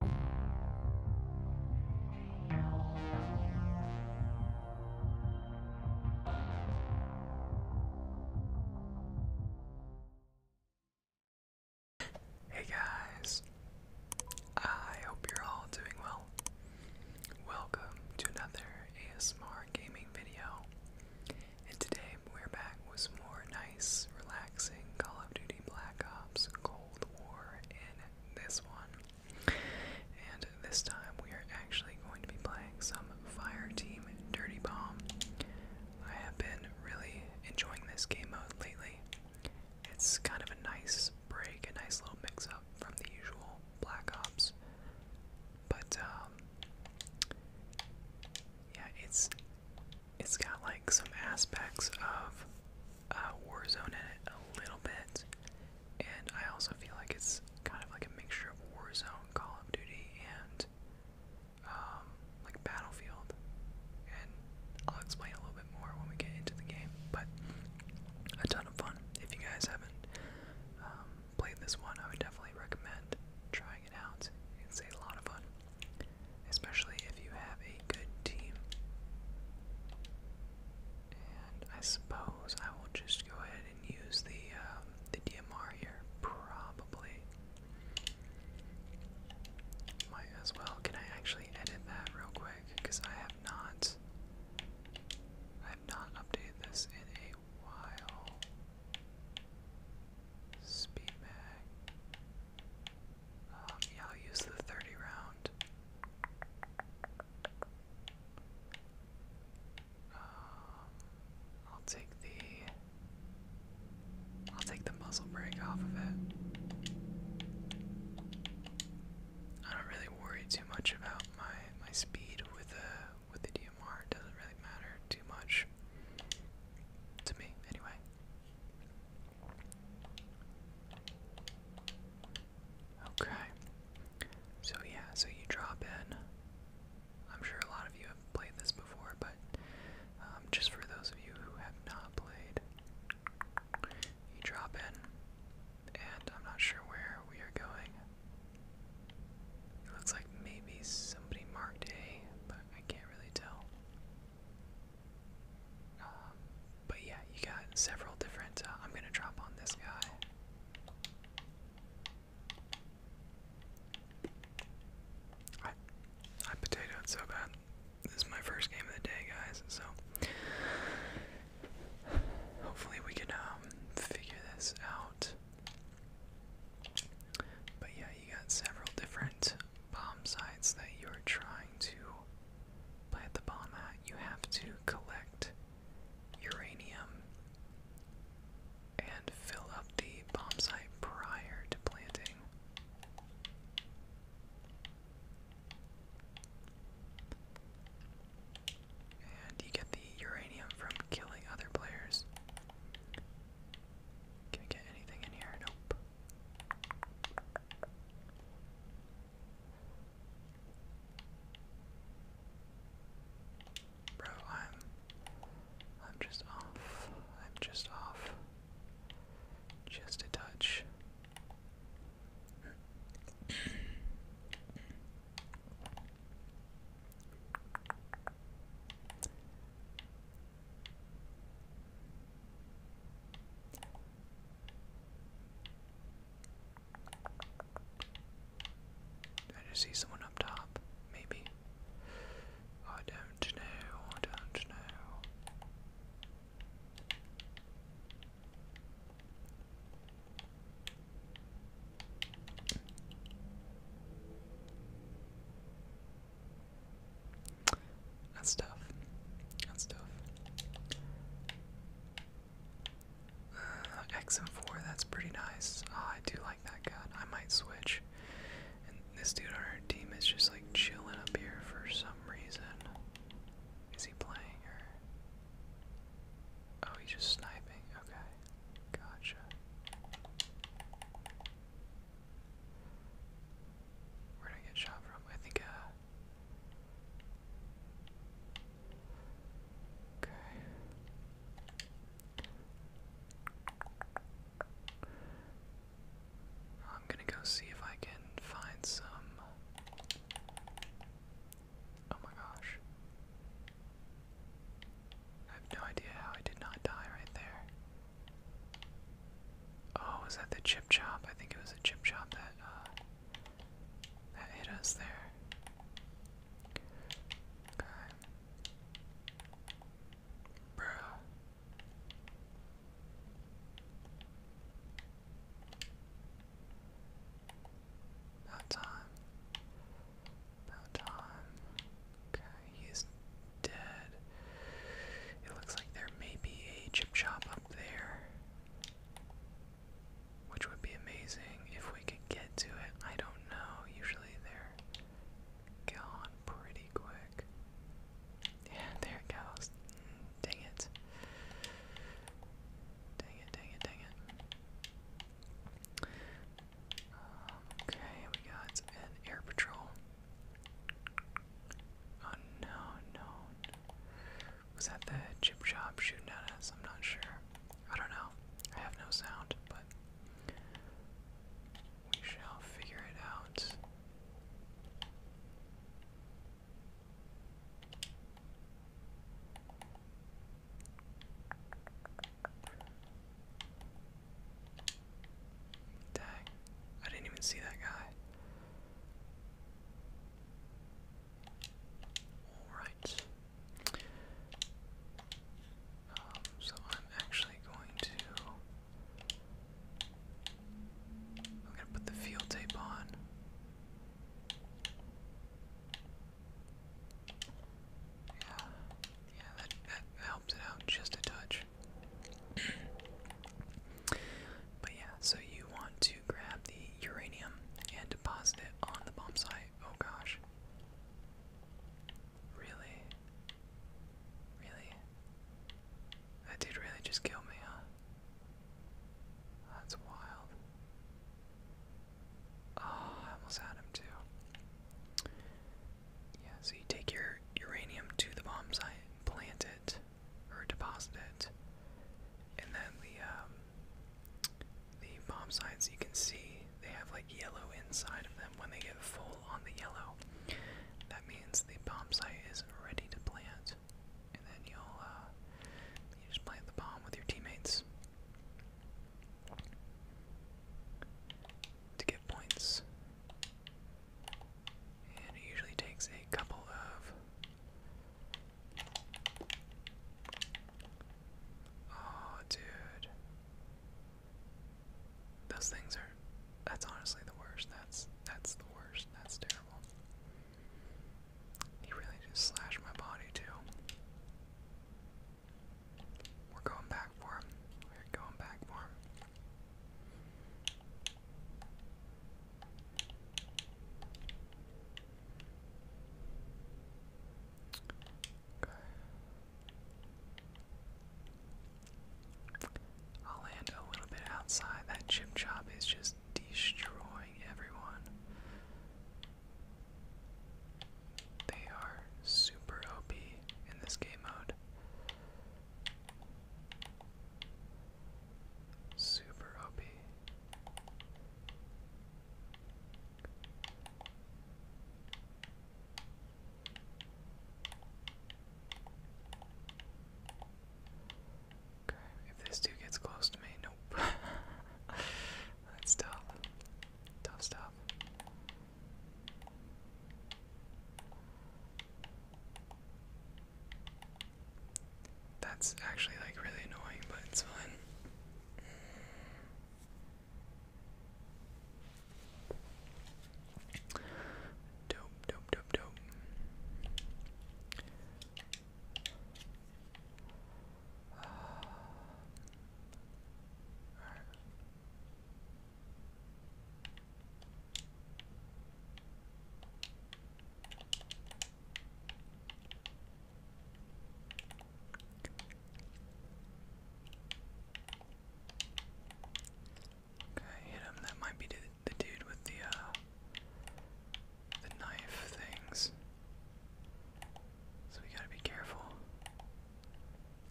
Hey guys, I hope you're all doing well. Welcome to another ASMR gaming video, and today we're back with more nice, relaxing Call of Duty Black Ops Cold War in this one. And this time we are actually going to be playing some Fire Team Dirty Bomb. I have been really enjoying this game mode lately. It's kind of a nice break, a nice little mix up from the usual Black Ops. But, um, yeah, it's it's got like some aspects of uh, Warzone in it a little bit, and I also feel like it's kind of like a mixture of Warzone, Call of Duty, and um, like Battlefield. And I'll explain a little bit more when we get into the game, but a ton of fun. If you guys haven't um, played this one, I would definitely recommend trying it out. It's a lot of fun especially if you have a good team. And I suppose I will just go ahead and use the um, the DMR here, probably. Might as well. Can I actually edit that real quick? Because I have not, I have not updated this in a while. Speed mag yeah, I'll use the 30 round. Um, I'll take the I'll take the muzzle break off of it. I don't really worry too much about my my speed with the with the DMR. doesn't really matter too much to me anyway. Okay. So, yeah, so you drop in. I'm sure a lot of you have played this before, but um, just for those of you who have not played, you drop in, and I'm not sure where we are going. It looks like maybe somebody marked A, but I can't really tell. Um, but yeah, you got several different. Uh, I'm gonna drop on this guy. I, I potatoed so bad. This is my first game of the day, guys. So hopefully we can um, figure this out. But yeah, you got several different bomb sites that you're trying to plant the bomb at, you have to collect uranium and fill up the bomb site prior to planting. And you get the uranium from killing other players. Can we get anything in here? Nope. Bro, I'm I'm just off. I'm just off. Just a touch. I just see someone up top, maybe. I don't know, I don't know. That's tough. That's tough. Uh, X and four, that's pretty nice. Oh, I do like that guy. I might switch. this dude on our team is just like chilling up here for some reason. Is he playing or? Oh, he's just sniping. Okay, gotcha. Where'd I get shot from? I think uh, Okay. I'm gonna go see if I can find some. Oh my gosh. I have no idea how I did not die right there. Oh, was that the chop. I think it was a chip chop that uh, that hit us there. Okay. Bruh. About time. About time. Okay, he's dead. It looks like there may be a chip shop up there. Which would be amazing if we could get to it. I don't know. Usually they're gone pretty quick. Yeah, there it goes. Dang it. Dang it, dang it, dang it. Um, okay, we got an air patrol. Oh no, no. Was that the chip chop shooting at us? I'm not sure. I don't know. I have no sound, but we shall figure it out. Dang. I didn't even see that guy. Alright. Um, so I'm actually going to. I'm going to put the field tape on. Yeah, yeah, that, that helps it out just a touch. But yeah, so you want to grab the uranium and deposit it on the bomb site. Oh gosh. Really? Really? That dude really just killed me, huh? That's wild. Oh, I almost had him too. Yeah, so you take your uranium to the bomb site and plant it or deposit And then the um, the bomb sights you can see they have like yellow inside of them. When they get full on the yellow, that means the bomb site is ready to plant. And then you'll uh, you just plant the bomb with your teammates to get points. And it usually takes a couple of. Oh, dude. Those things are. That's honestly the worst. That's that's the worst. That's terrible. He really just slashed my body too. We're going back for him. We're going back for him. I'll land a little bit outside. That chip chop is just destroying everyone. They are super OP in this game mode. Super OP. Okay, if this dude gets close to me, nope. That's tough. Tough stuff. That's actually like really annoying, but it's fun. Dope, dope, dope, dope. all right. Okay, hit him. That might be the, dude with the uh, the knife things. So we gotta be careful.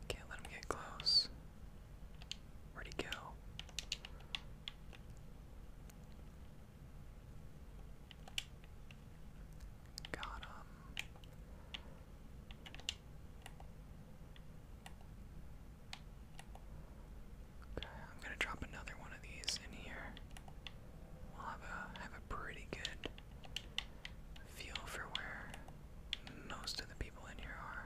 Can't let him get close. Where'd he go? Got him. Okay, I'm gonna drop another one of these in here. We'll have a have a pretty good feel for where most of the people in here are.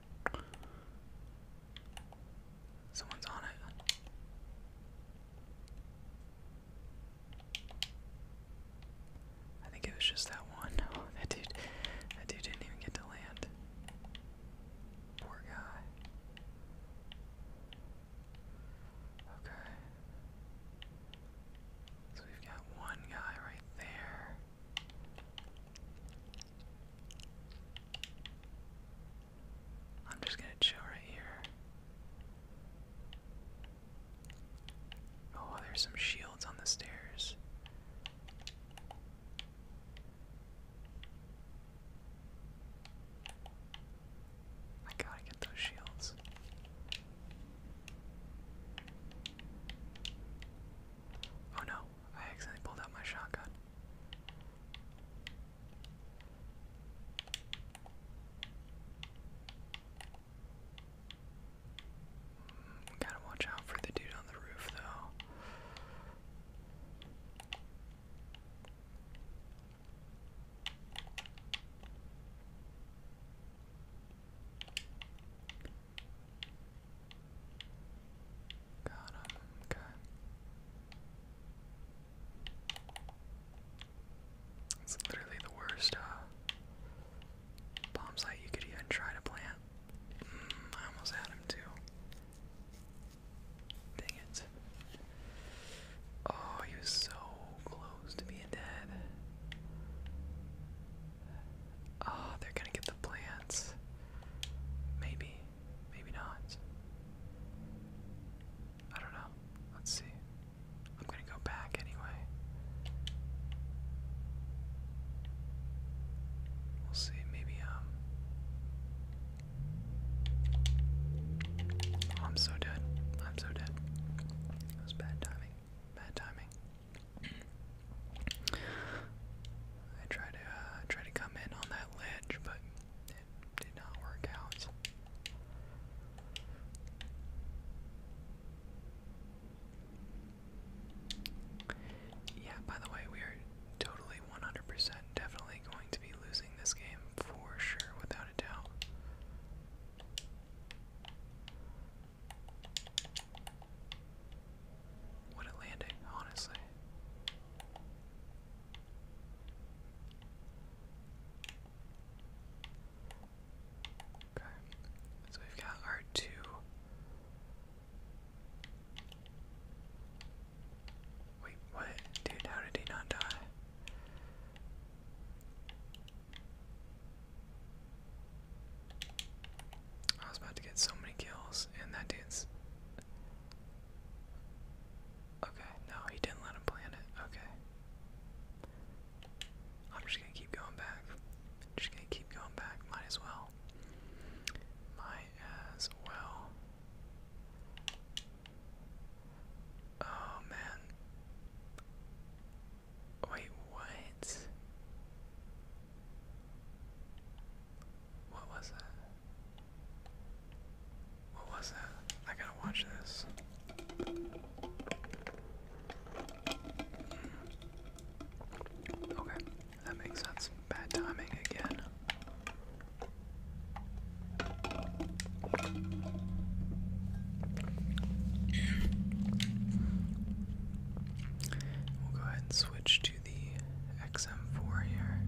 Someone's on it. I think it was just that one. that dude, that dude didn't even get to land. Poor guy. Okay. So we've got one guy right there. I'm just gonna chill right here. Oh, there's some shields on the stairs. I gotta get those shields. Oh no, I accidentally pulled out my shotgun. gotta watch out for the dude on the roof, though. Got him, okay. It's literally the worst uh, bomb site you could even try to plant. Mm, I almost had him too. Dang it. Oh, he was so close to being dead. Oh, they're gonna get the plants. Maybe. Maybe not. I don't know. Let's see. I'm gonna go back anyway. We'll see. Maybe, um. I'm so dead. I'm so dead. It was bad timing. Bad timing. I tried to uh, try to come in on that ledge, but it did not work out. Yeah, by the way, we are totally 100% definitely going to be losing this game for sure, without a doubt. Would it land honestly? Okay, so we've got our two. Wait, what? Dude, how did he not die? I was about to get so many kills, and that dude's. Okay, no, he didn't let him plant it. Okay. I'm just gonna keep going back. Just gonna keep going back. Might as well. Might as well. Oh man. Wait, what? What was that? What was that? I gotta watch this. Hmm. Okay, that makes sense. Bad timing again. We'll go ahead and switch switch to the XM4 here.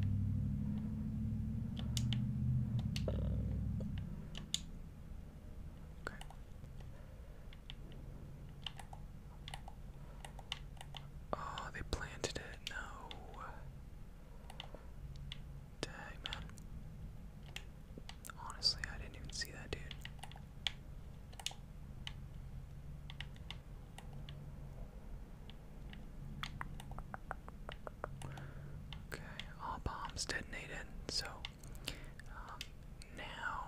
Okay. Oh, they planted it. No. Dang, man. Honestly, I didn't even see that, dude. Okay, all bombs detonated. So um, now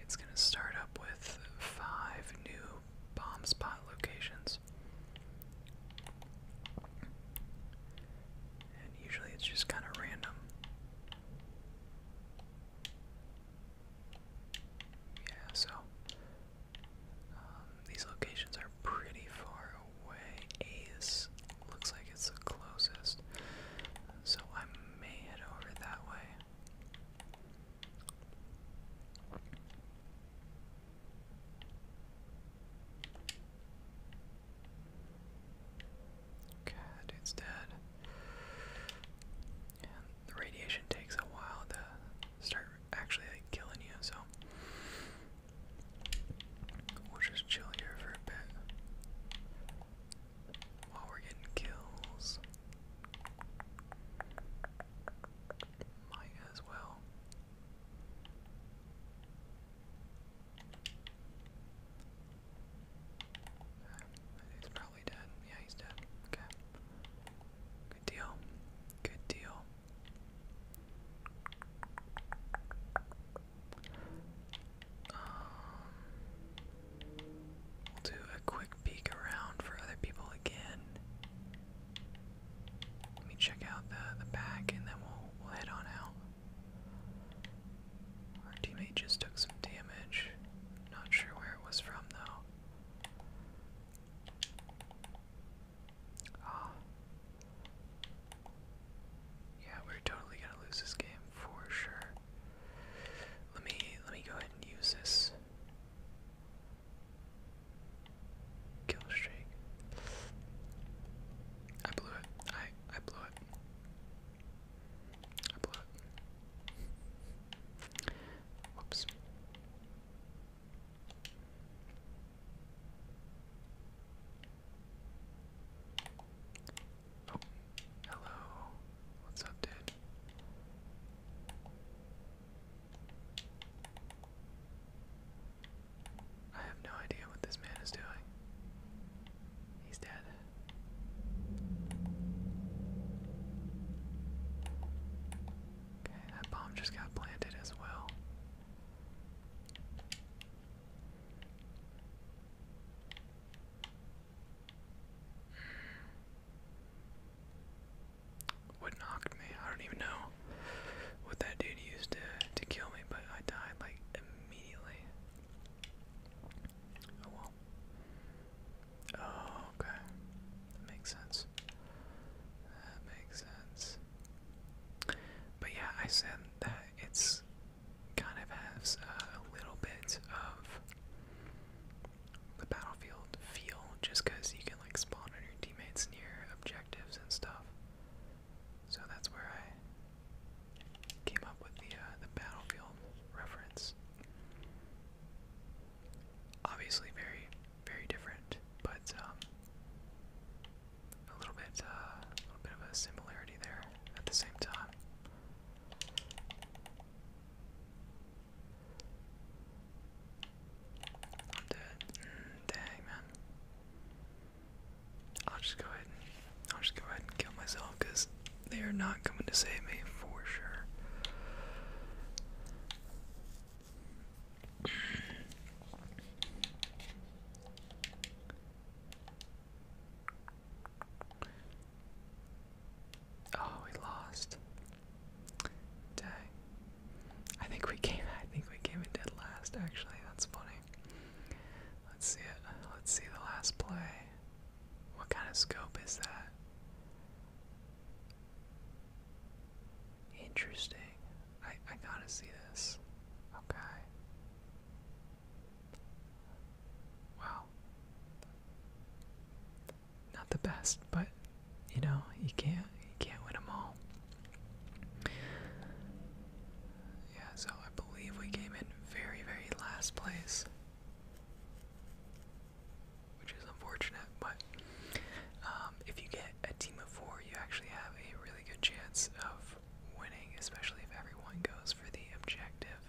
it's going to start up with five new bomb spot locations. And usually it's just kind of random. Yeah, so um, these locations are pretty far away. Ace looks like it's the closest, so I may head over that way. Okay, that dude's dead. the radiation takes a while to start actually like killing you, so we'll just chill here for a bit while we're getting kills. Might as well. He's probably dead. Yeah, he's dead. Okay. Good deal. Good deal. Um, we'll do a quick peek around for other people again. Let me check out the the back, and then we'll we'll head on out. Our teammate just took some damage. Not sure where it was from, though. Ah. Yeah, we're totally gonna lose this game for sure. Let me let me go ahead and use this kill streak. I blew it. I I blew it. Oh, hello. What's up, dude? I have no idea what this man is doing. He's dead. Okay, that bomb just got planted as well. What knocked me? I don't even know what that dude used to to kill me, but I died like immediately. Oh well. Oh, okay. makes sense. That makes sense. But yeah, I said that it's kind of has a little bit of the battlefield feel just because you can like spawn on your teammates near objectives and stuff. So that's where I came up with the uh, the battlefield reference. Obviously, very very different, but um, a little bit uh, a little bit of a similarity there at the same time. Mm, dang man. I'll just go ahead I'll just go ahead and kill myself because they are not coming to save me for sure. Oh, we lost. Dang. I think we came I think we came in dead last actually. That's funny. Let's see it. Let's see the last play. What kind of scope is that? Interesting. I, I gotta see this. Okay. Wow. Not the best, but you know, you can't you can't win them all. Yeah, so I believe we came in very, very last place which is unfortunate. But um, if you get a team of four, you actually have a really good chance of winning, especially if everyone goes for the objective.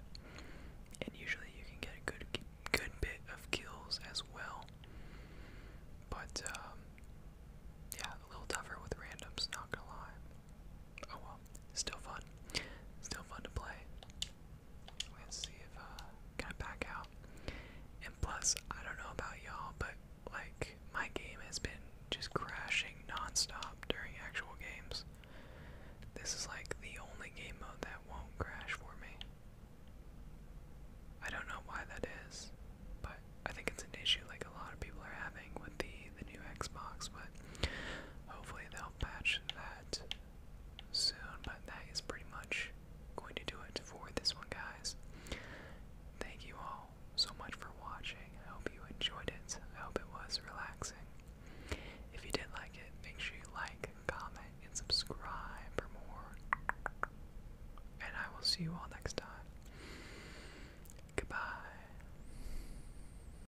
And usually, you can get a good, good bit of kills as well. But um, yeah, a little tougher with randoms, not gonna lie oh well, still fun. Still fun to play. Let's see if uh can I back out. And plus, I don't know about y'all, but like my game has been just crashing non-stop during actual games. This is like the only game mode that won't crash for me. I don't know why that is, but I think it's an issue like a lot of people are having with the the new Xbox, but hopefully they'll patch that soon, but that is pretty much going to do it for this one, guys. Thank you all so much for watching. I hope you enjoyed it. I hope it was relaxing. If you did like it, make sure you like, comment, and subscribe for more. And I will see you all next time. Goodbye.